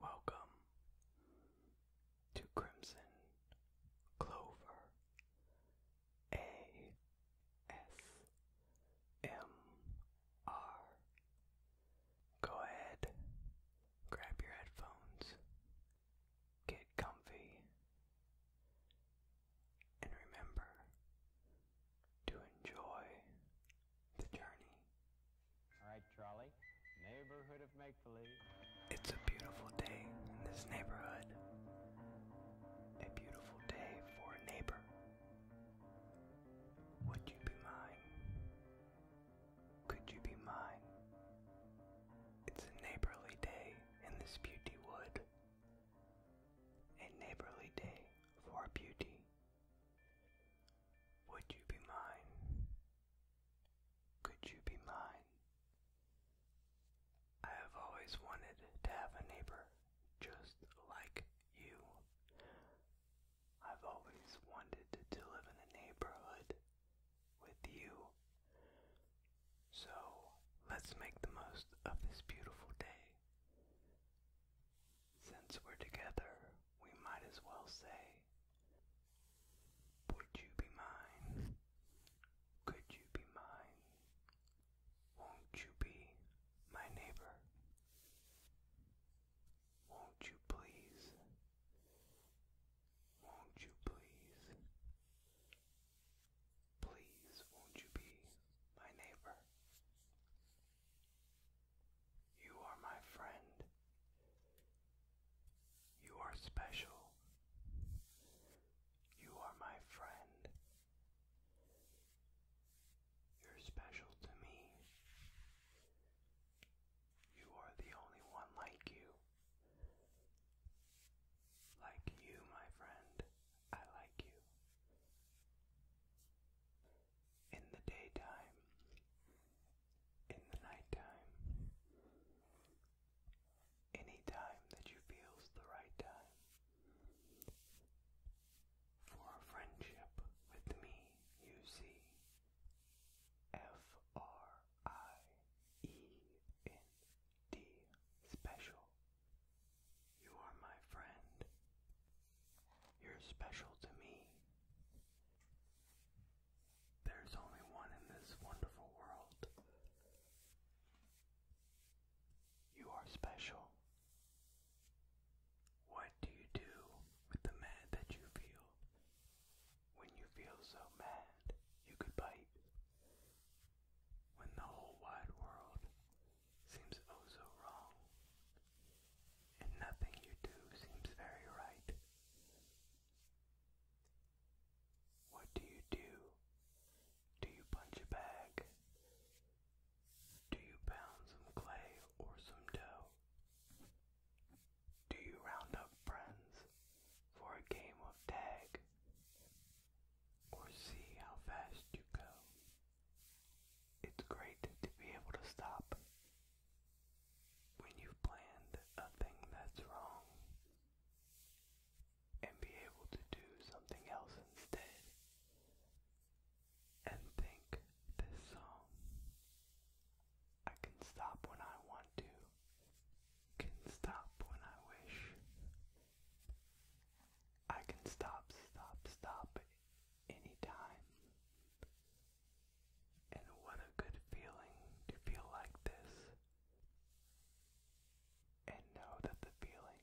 Welcome to Crimson Clover A S M R. Go ahead, grab your headphones, get comfy, and remember to enjoy the journey. All right, Charlie. Neighborhood of make believe. It's a beautiful day in this neighborhood. A beautiful day for a neighbor. Would you be mine? Could you be mine? It's a neighborly day in this beauty wood. A neighborly day for beauty. Would you be mine? Could you be mine? I have always wanted to have a neighbor just like you. I've always wanted to live in a neighborhood with you. So let's make the most of this beautiful day. Since we're together, we might as well say, would you be mine? Could you be mine? Won't you be my neighbor? Won't you please? Won't you please? Please, won't you be my neighbor? You are my friend. You are special. You are my friend. You're special to me. You are the only one like you. Like you, my friend, I like you. In the daytime, in the nighttime. Any time that you feel's the right time. For a friendship with me, you see. F R I E N D special. You are my friend. You're special to me. There's only one in this wonderful world. You are special. What do you do with the mad that you feel? When you feel so mad, you could bite. When the whole wide world seems oh so wrong, and nothing you do seems very right. What do you do? Do you punch a bag? Do you pound some clay or some dough? Do you round up friends for a game of tag? Or see how fast you go? It's great to be able to stop when you've planned a thing that's wrong and be able to do something else instead and think this song I can stop when I want to can stop when I wish I can stop stop stop anytime and what a good feeling to feel like this. And know that the feeling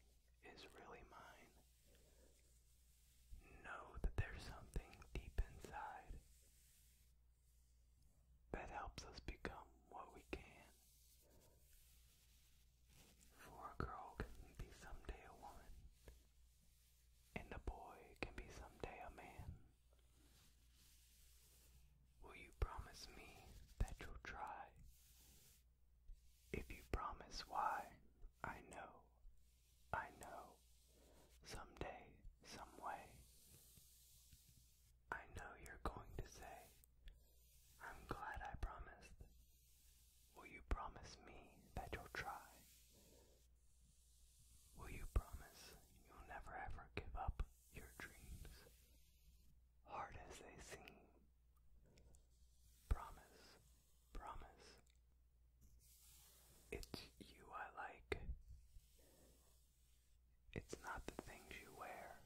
is really mine. Know that there's something deep inside that helps us become what we can. For a girl can be someday a woman, and a boy can be someday a man. Will you promise me that you'll try? If you promise why, I know, I know, someday, some way. I know you're going to say, I'm glad I promised. Will you promise me that you'll try? Will you promise you'll never ever give up your dreams, hard as they seem? Promise, promise. It's you I like. It's not the things you wear.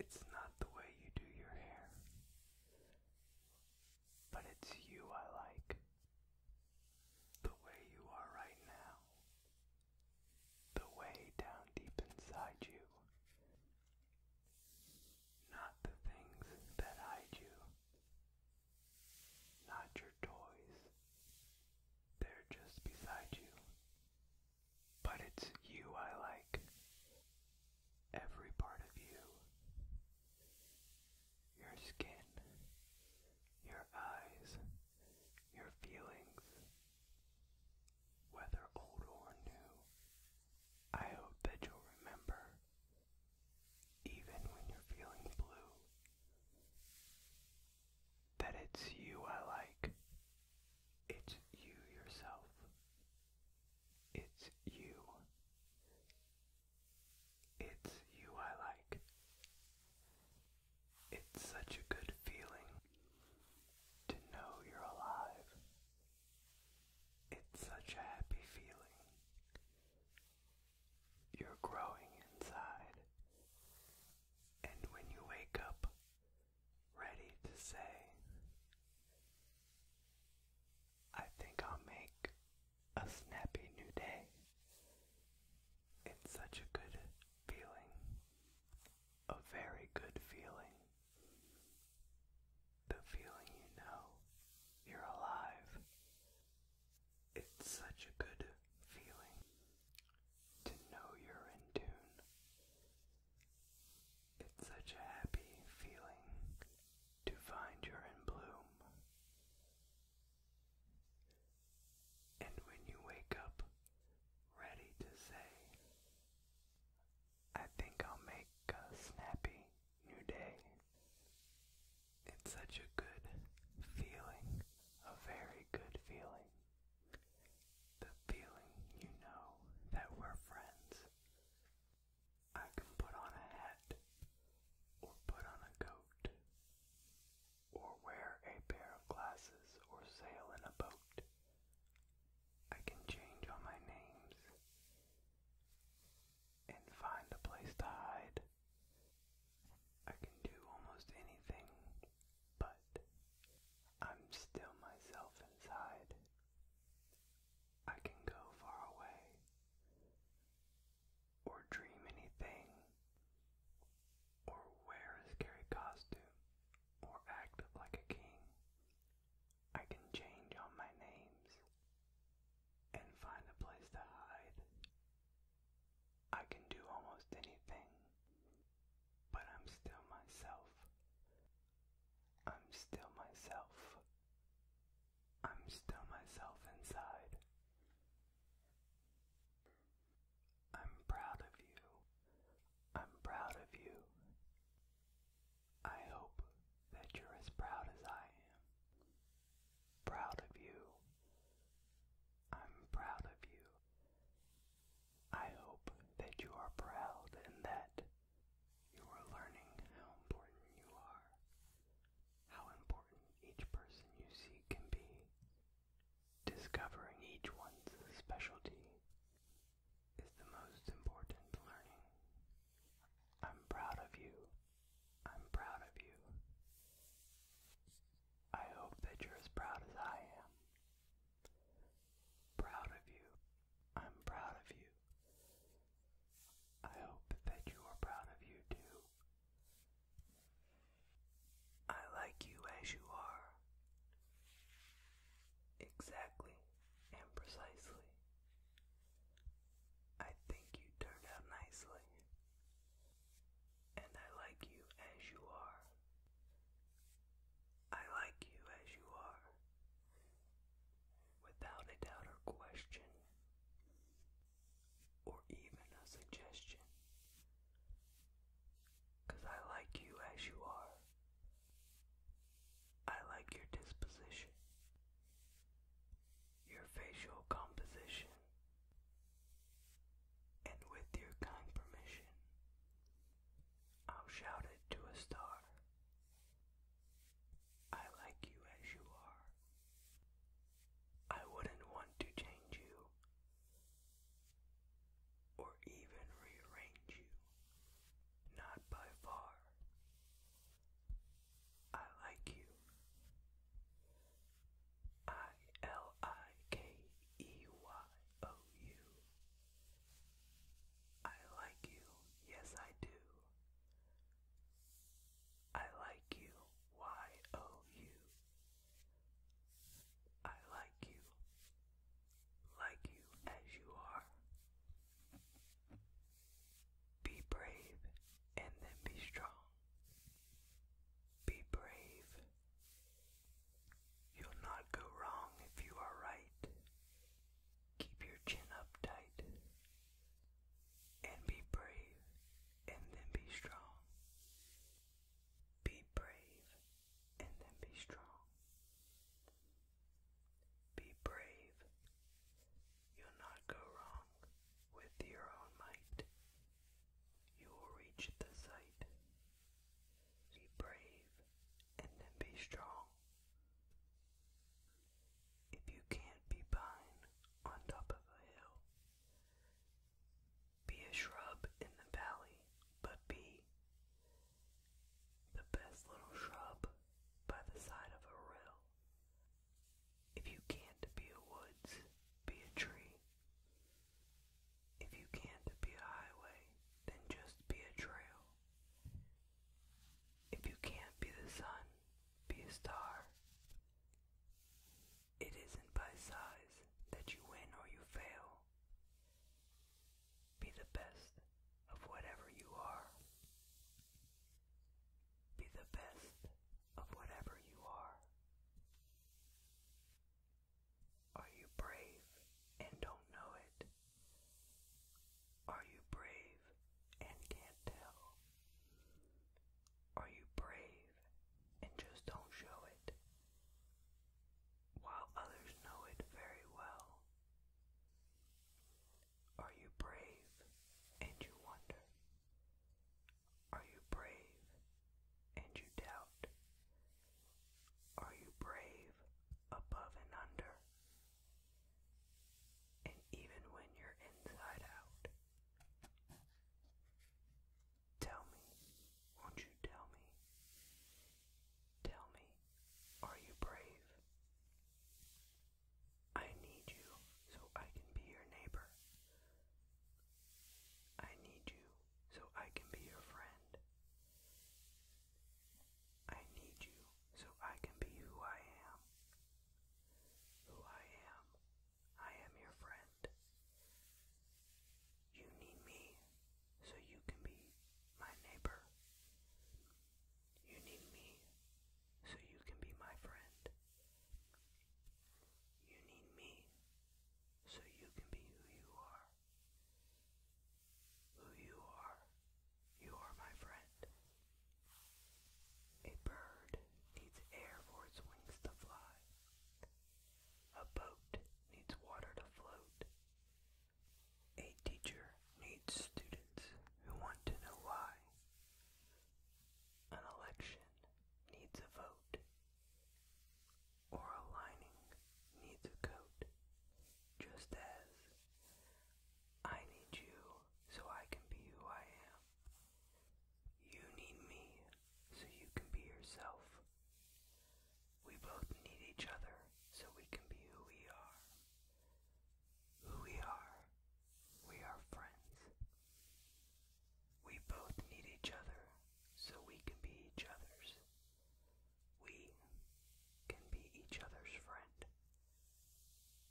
It's not the way you do your hair. But it's you I like. The way you are right now. The way down deep inside you. Not the things that hide you. Not your toys. They're just beside you. But it's you I like. Every part of you your skin, your eyes, your feelings. Whether old or new, I hope that you'll remember, even when you're feeling blue, that it's you I like. It's you yourself. It's you. It's you I like. It's such a good feeling to know you're alive. It's such a happy feeling. You're growing inside. And when you wake up, ready to say, I think I'll make a snappy new day. It's such a good feeling, a very good feeling. The feeling you know you're alive. It's such a good feeling to know you're in tune. It's such a happy feeling to find you're in bloom. And when you wake up ready to say, I think I'll make a snappy new day. It's such a good feeling, a very good feeling. The feeling you know that we're friends, I can put on a hat or put on a coat or wear a pair of glasses or sail in a boat. I can change all my names and find a place to hide. I can do almost anything, but I'm still myself inside. I can go far away or dream anything, or wear a scary costume, or act like a king. I can change all my names and find a place to hide. I can do almost anything, but I'm still myself. I'm still myself. I'm still myself inside. I'm proud of you. I'm proud of you. I hope that you're as proud as I am. Proud of you. I'm proud of you. I hope that you are proud and that you are learning how important you are how important each person you see can be. Discovering each one's specialty is the most important learning. I'm proud of you. I'm proud of you. I hope that you're as proud as I am. Proud of you. I'm proud of you. I hope that you are proud of you too. I like you as you are. Exactly and precisely. I think you turned out nicely. And I like you as you are. I like you as you are. Without a doubt or question, or even a suggestion. I like you as you are. I like your disposition, your facial composition, and with your kind permission, I'll shout it to a star I like you as you are. I wouldn't want to change you or even rearrange you. Not by far. I like you. I L I K E Y O U. I like you, yes, I do. I like you, Y O U. I like you, like you as you are. Be brave and then be strong. Be brave. You'll not go wrong if you are right. Keep your chin up tight and be brave and then be strong. Be brave and then be strong. Be brave. You'll not go wrong with your own might. You will reach the sight. Be brave and then be strong. If you can't be pine on top of a hill, be a shrub in the valley, but be the best little shrub by the side of a rill. If you can't be a woods, be a tree. If you can't be a highway, then just be a trail. If you can't be the sun, be a star. It isn't by size that you win or you fail. Be the best of whatever you are. Be the best of whatever you are. Are you brave and don't know it? Are you brave and can't tell? Are you brave and just don't show it, while others know it very well? Are you brave and you wonder? Are you brave and you doubt? Are you brave above and under? and even when you're inside out. Tell me, won't you tell me? Tell me, are you brave? I need you so I can be your neighbor. I need you so I can be your friend. I need you so I can be who I am who I am. I am your friend. You need me so you can be my neighbor. You need me so you can be my friend. You need me so you can be who you are. Who you are, you are my friend. A bird needs air for its wings to fly. A boat needs water to float. A teacher needs students who want to know why. An election needs a vote. Or a lining needs a coat. Just as I need you so I can be who I am. You need me so you can be yourself. We both need each other so we can be who we are. Who we are, we are friends. We both need each other so we can be each other's. We can be each other's friend.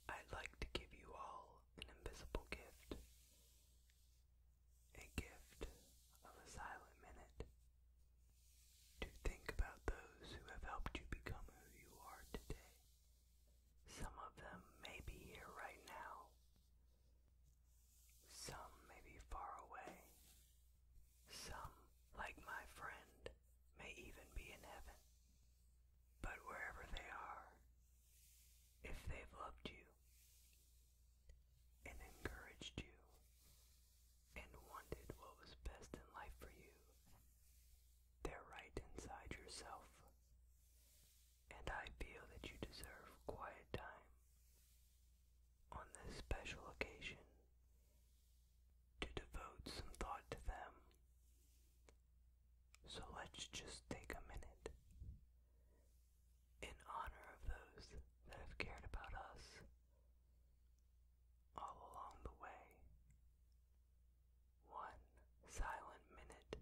I'd like to give you all an invisible gift. A gift of a silent minute. To think about those who have helped you become who you are today. Some of them may be here right now. Some may be far away. Some, like my friend, may even be in heaven. But wherever they are, if they've loved you and encouraged you and wanted what was best in life for you, they're right inside yourself. And I feel that you deserve quiet time on this special occasion to devote some thought to them so let's just take a minute in honor of those that have cared about us all along the way. One silent minute.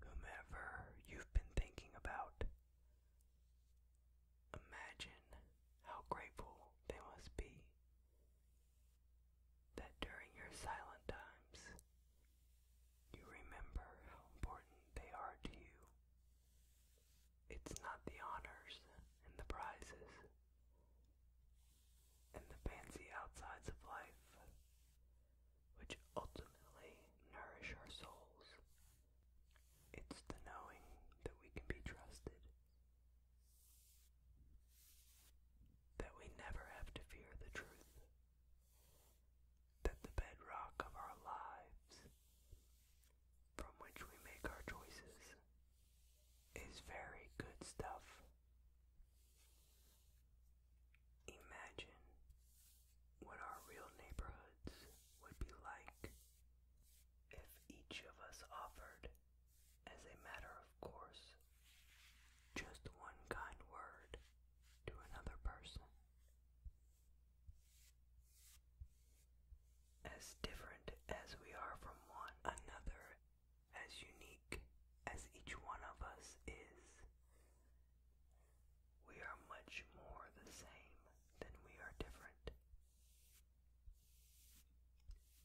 Whomever you've been thinking about, Imagine how grateful they must be that during your silent times you remember how important they are to you. It's not the honors and the prizes and the fancy outsides of life which ultimately nourish our souls. It's the knowing that we can be trusted. That we never have to fear the truth. That the bedrock of our lives, from which we make our choices, is very good stuff. Imagine what our real neighborhoods would be like if each of us offered, as a matter of course, just one kind word to another person. As different as we are from one another, as unique as each one of us is, we are much more the same than we are different.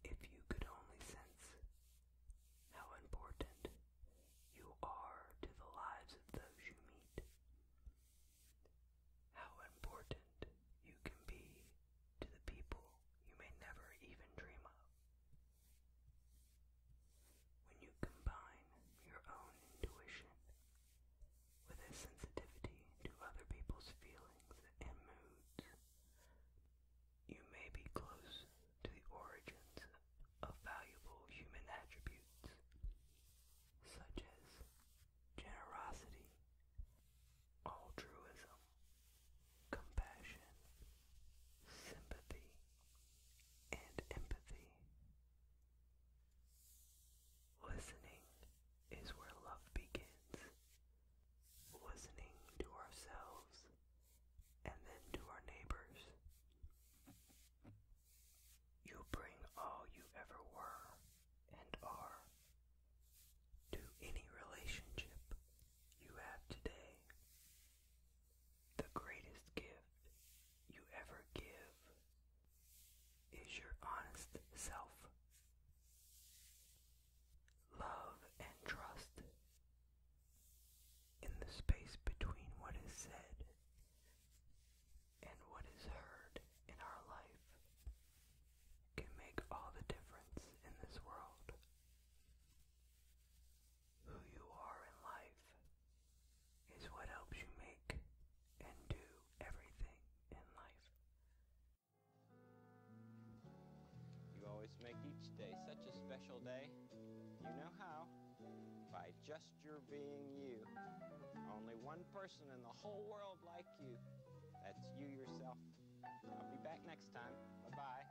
If you could only sense how important you are to the lives of those you meet, how important you can be to the people you may never even dream of. When you combine your own intuition with a sensitivity to other people's feelings and moods. You may be close to the origins of valuable human attributes, such as generosity, altruism, compassion, sympathy, and empathy. Listening is where love begins. Listening to ourselves and then to our neighbors. You bring all you ever were and are to any relationship you have today. The greatest gift you ever give is your honest self. Love and trust. In the space between what is said and what is heard in our life can make all the difference in this world. Who you are in life is what helps you make and do everything in life. You always make each day such a special day. You know how? By just your being you. Only one person in the whole world like you. That's you yourself. I'll be back next time. Bye-bye.